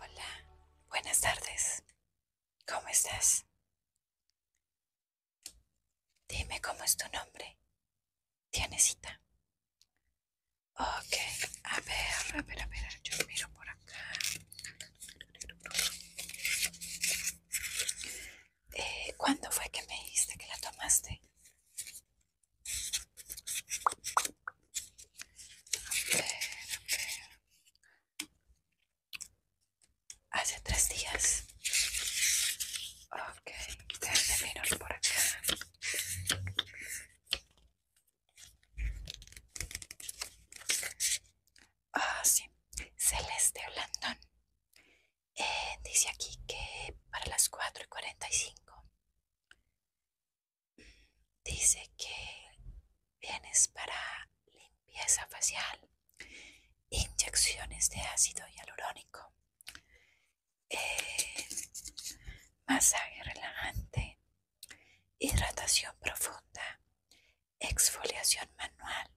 Hola, buenas tardes. ¿Cómo estás? Dime cómo es tu nombre. ¿Tienes cita? Ok, a ver, a ver, a ver, yo miro por acá. Eh, ¿cuándo fue que me dijiste que la tomaste? Hace tres días. Ok, por acá. Ah, sí. Celeste Blandón. Eh, dice aquí que para las 4 y 45. Dice que vienes para limpieza facial, inyecciones de ácido hialurónico, eh, masaje relajante, hidratación profunda, exfoliación manual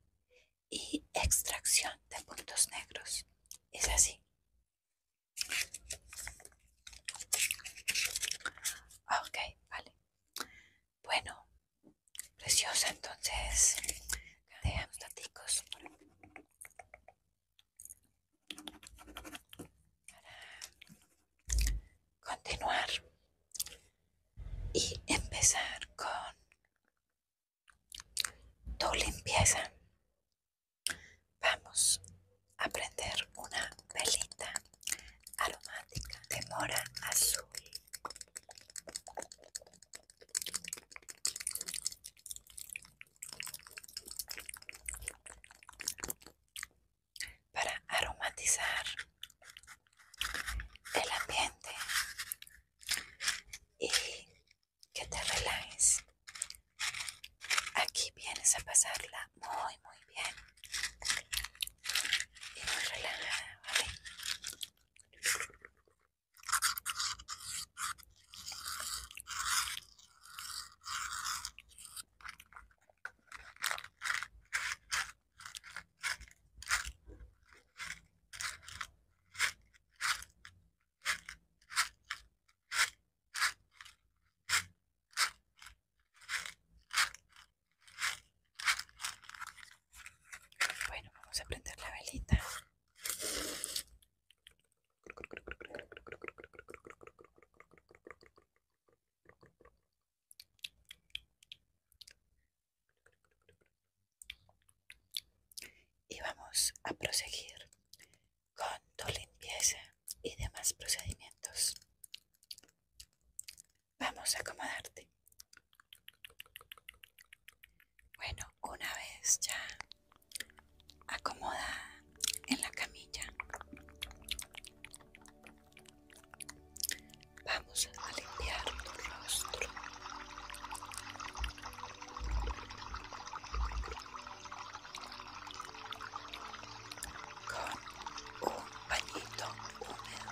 y extracción de puntos negros. Es así. Ok, vale. Bueno, preciosa, entonces dejamos ticos para continuar y empezar con tu limpieza. Vamos a prender una velita aromática de mora azul. para aromatizar el ambiente y que te relajes. Aquí vienes a pasarla muy, muy bien y muy relajada, ¿vale? Bueno, vamos a prender la velita. Y vamos a proseguir con tu limpieza y demás procedimientos. Vamos a acomodarte. Bueno, una vez ya acomodada en la camilla, Vamos a limpiar tu rostro. Con un pañito húmedo.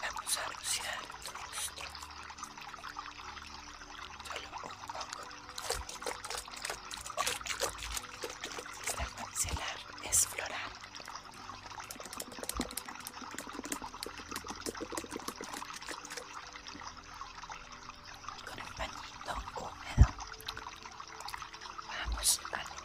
Vamos a rociar tu rostro. Solo un poco. para cancelar es floral. Con el pañito húmedo vamos a limpiar.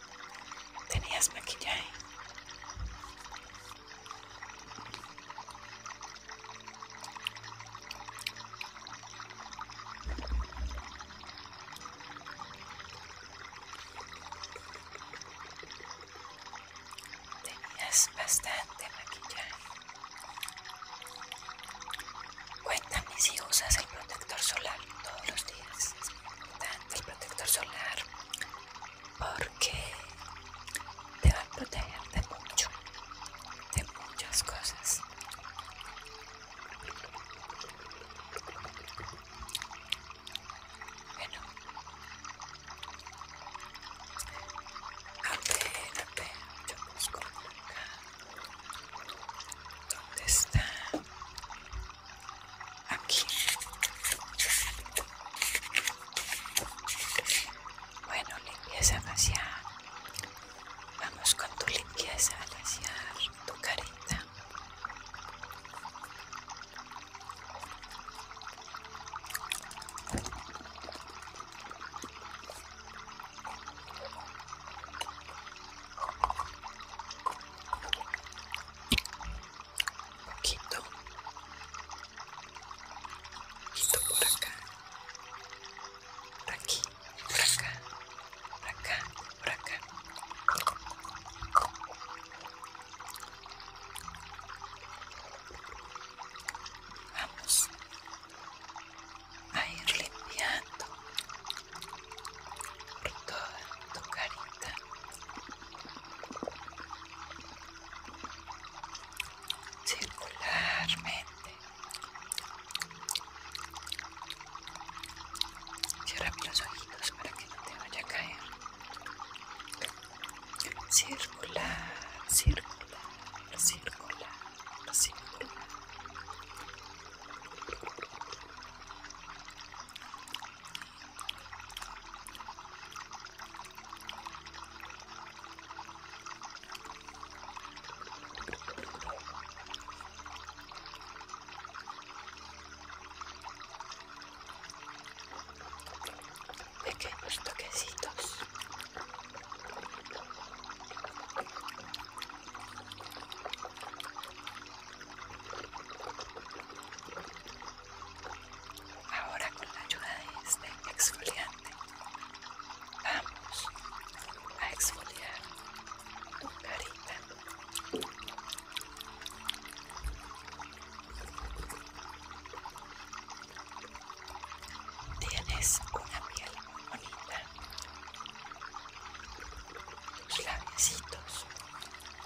Tenías maquillaje. Tenías bastante maquillaje. Cuéntame si usas el protector solar todos los días. Es el protector solar porque te va a proteger de mucho, de muchas cosas. Bueno, a ver, a ver, yo busco acá. ¿Dónde está? Aquí. Bueno, limpieza demasiado. Vamos con tu limpieza facial, tu carita un poquito, poquito por acá, por aquí, por acá, por acá, por acá. Vamos a ir limpiando por toda tu carita circularmente. Cierra bien los ojitos para que no te vaya a caer. Circular, circular, circular, circular pequeños toquecitos. Ahora con la ayuda de este exfoliante vamos a exfoliar tu carita. Tienes una piel muy bonita. Tus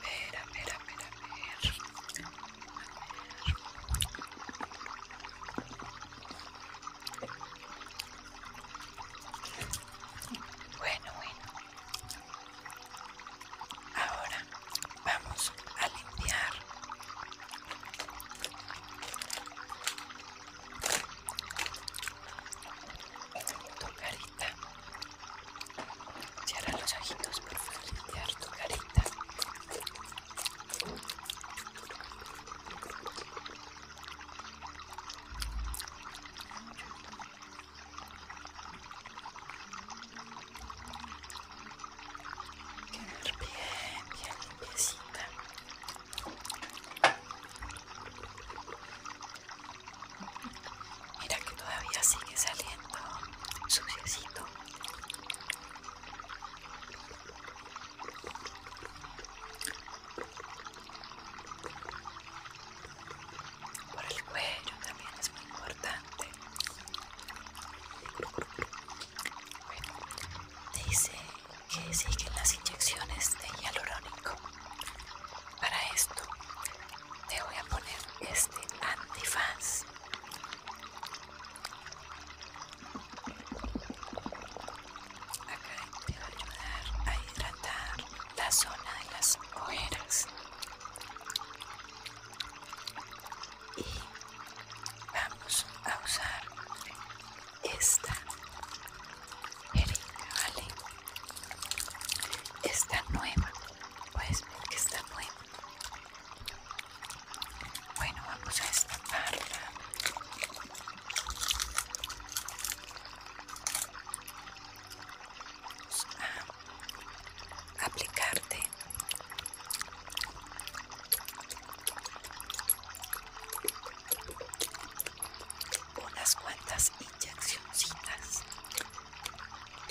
ver, a ver, a Bueno, bueno. Ahora vamos a limpiar. Tu carita Cierra los ojitos por limpiar tu carita. bien, bien limpiecita. Mira que todavía sigue saliendo suciecito. Por el cuello también es muy importante. Bueno, dice que siguen las inyecciones de hialurónico. Para esto te voy a poner este antifaz acá te va a ayudar a hidratar la zona de las ojeras y vamos a usar esta jeringa esta nueva pues que está bueno bueno vamos a esta vamos aplicarte unas cuantas y accioncitas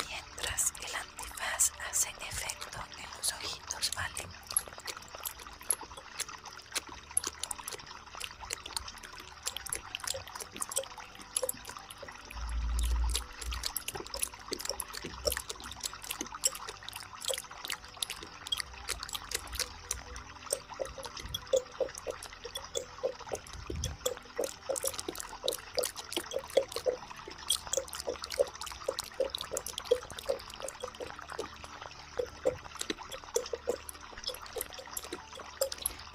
mientras el antifaz hace efecto en los ojitos, ¿vale?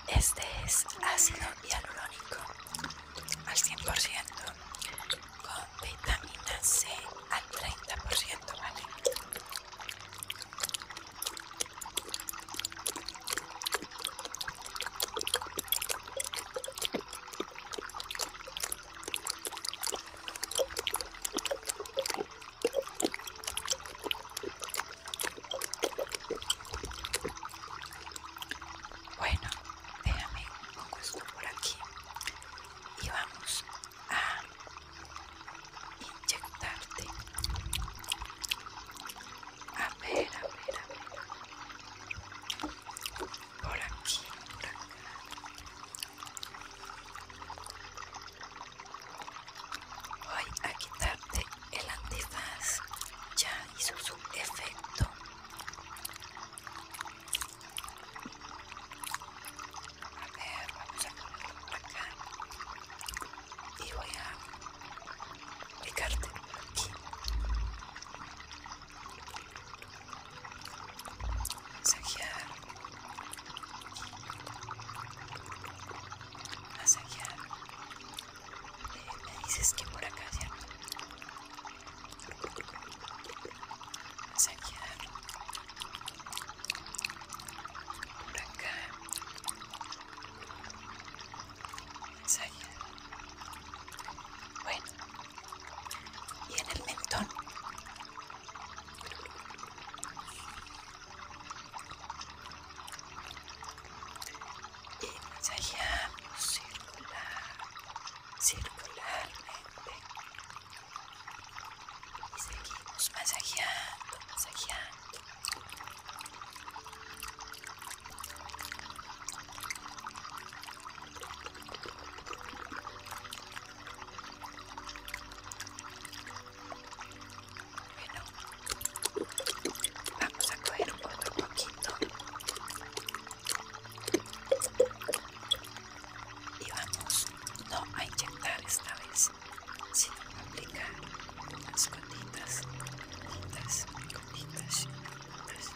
Este es ácido hialurónico al 100% con vitamina C al 30%, ¿vale? Bueno, déjame pongo esto por aquí y vamos a inyectarte a ver, a ver, a ver. Por aquí, por acá. Voy a quitarte el antifaz. Ya hizo su efecto. A ver, vamos a ponerlo por acá y voy a picarte aquí. Masajear. Masajear. Eh, me dices que por acá ya. Masajear. Por acá. Bueno. Y en el mentón. Y masajeamos circular, circularmente. Y seguimos masajeando, masajeando. Bueno, vamos a coger otro poquito y vamos no a inyectar esta vez Sino aplicar las gotitas, gotitas, gotitas, gotitas,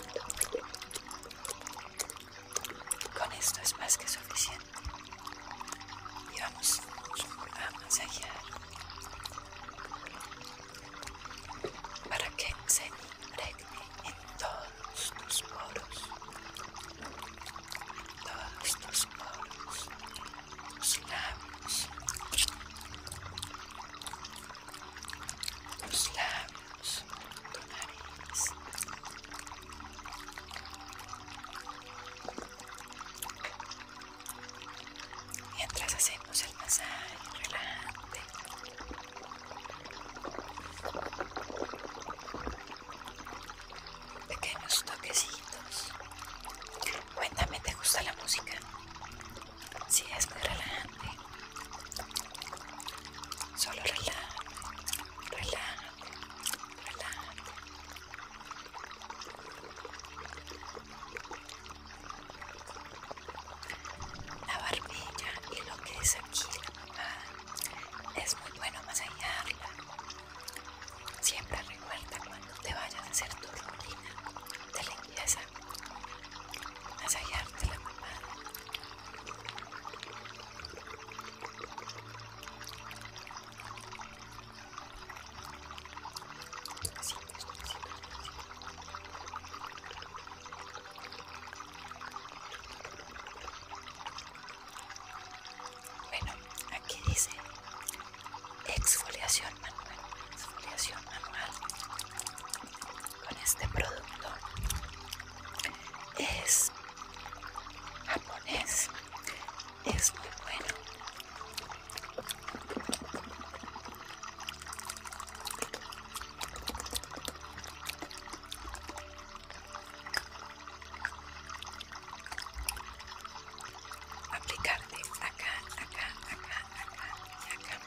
gotitas. Con esto es más que suficiente. Y vamos a masajear para que se impregne en todos tus poros, en todos tus poros. Snap. Los tu nariz. Mientras hacemos el masaje, relajante. pequeños toquecitos. Cuéntame, ¿te gusta la música? Si es muy relajante. Solo relaja, relaja, relaja. La barbilla y lo que es aquí, la es muy bueno masajearla Siempre recuerda cuando te vayas a hacer tu rutina de limpieza, masajearte la mamá. Bueno, Aquí dice exfoliación manual, exfoliación manual con este producto es japonés, es muy bueno aplicarte acá, acá, acá, acá y acá.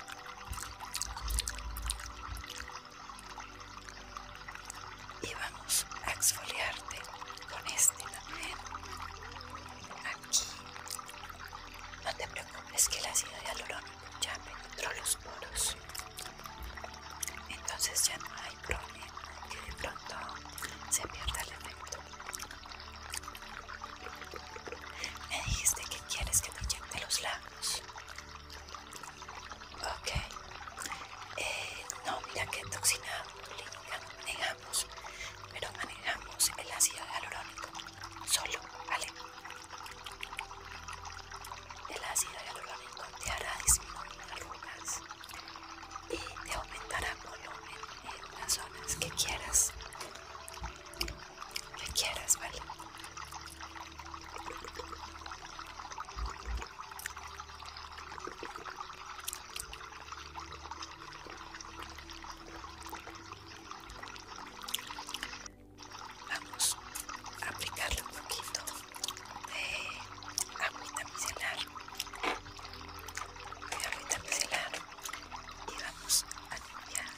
Y vamos a exfoliarte con este también. Aquí. No te preocupes que el ácido hialurónico ya penetró los poros. Entonces ya no hay problema que de pronto se pierda el efecto. Me dijiste que quieres que me inyecte los labios. Ok. Eh, no, mira toxinado, toxina clínica manejamos, pero manejamos el ácido hialurónico solo, ¿vale? El ácido hialurónico te hará disminuir arrugas, y te aumentará volumen en las zonas que quieras que quieras vale Vamos a aplicarlo un poquito de agüita micelar de agüita micelar y vamos a limpiar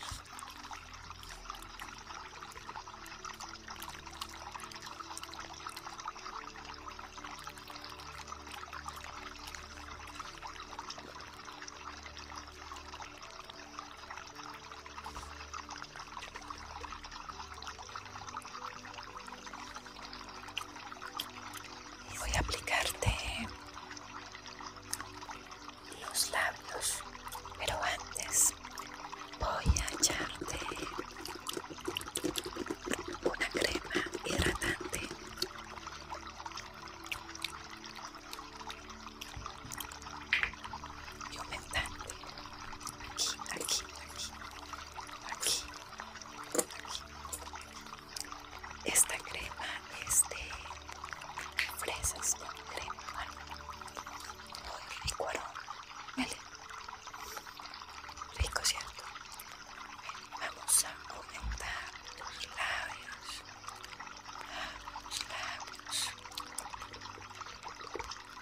voy a aplicarte los labios, pero antes voy a echarte una crema hidratante. Y aumentante. aquí aquí, aquí. Esta crema es de fresas crema, Muy rico aroma, ¿vale? Rico, ¿cierto? Vamos a aumentar los labios, los labios.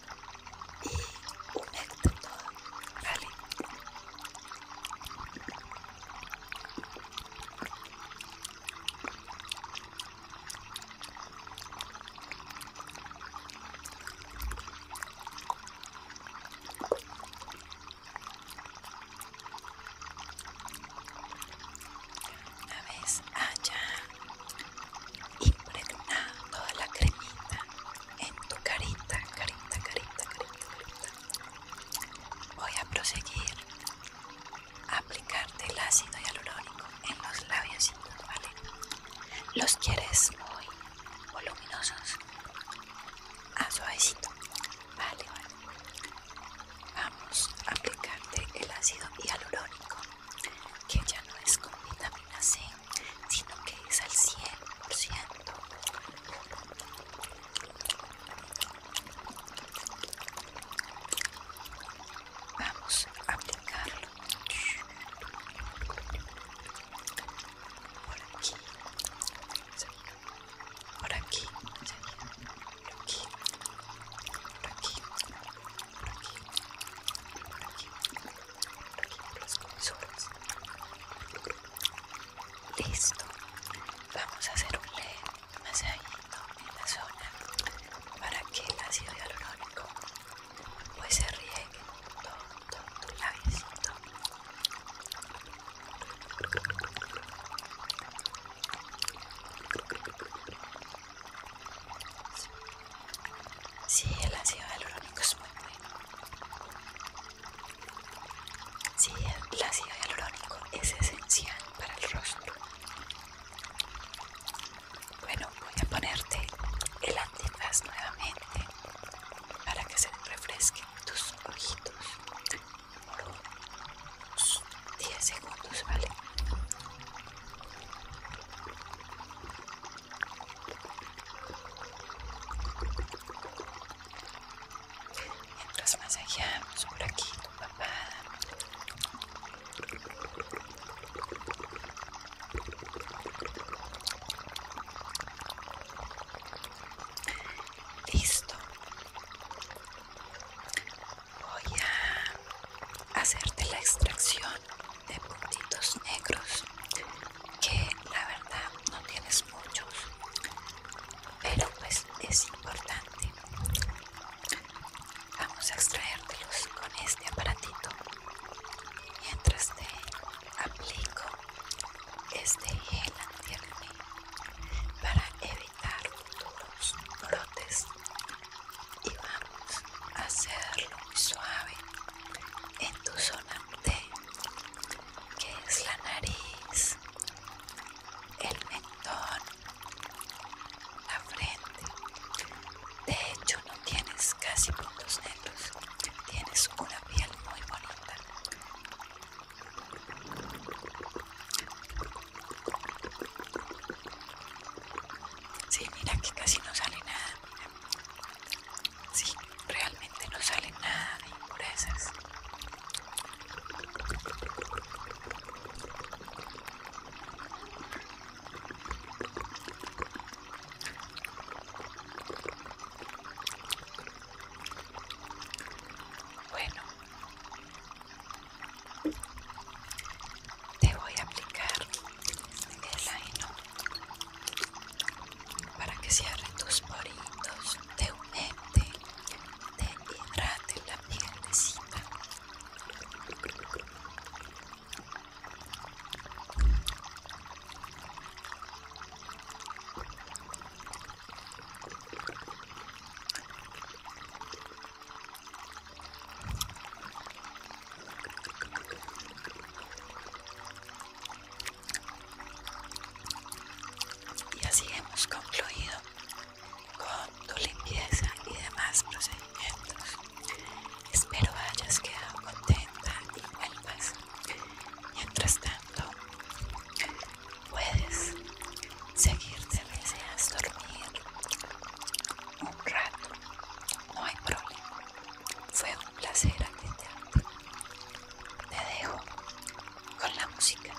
y un éxito, ¿vale? A ver, allá impregna toda la cremita en tu carita, carita, carita, carita, carita. Voy a proseguir a aplicarte el ácido hialurónico en los labios ¿vale? Los quieres muy voluminosos, a ah, suavecito, Vale. Vamos a aplicarte el ácido hialurónico que ya no es con vitamina C, sino que es al 100%. Vamos a aplicarlo aquí, por aquí, por aquí, por aquí, por aquí, Listo. Vamos a hacer un más en la zona para que el ácido hialurónico pues se riegue todo, Sí, el ácido hialurónico es muy bueno. Sí, el ácido hialurónico es esencial para el rostro. Bueno, voy a ponerte el antifaz nuevamente para que se refresquen tus ojitos por unos 10 segundos, ¿vale? Mientras masajeamos por aquí tu papá Listo. Voy a hacerte la extracción de puntitos negros que la verdad no tienes muchos pero pues es importante vamos a extraértelos con este aparatito mientras te aplico este gel para evitar futuros brotes y vamos a hacerlo muy suave en tu zona T, que es la nariz, el mentón, la frente. De hecho, no tienes casi puntos negros, tienes una piel muy bonita. Sí, mira que casi no sale nada, realmente no sale nada de impurezas. Bueno, te voy a aplicar el aino para que cierre tus poritos, te humete, te hidrate la cita y así hemos concluido con tu limpieza y demás procedimientos. Espero hayas quedado contenta y vuelvas. Mientras tanto, puedes seguirte deseando deseas dormir un rato no hay problema. Fue un placer atenderte. Te dejo con la música.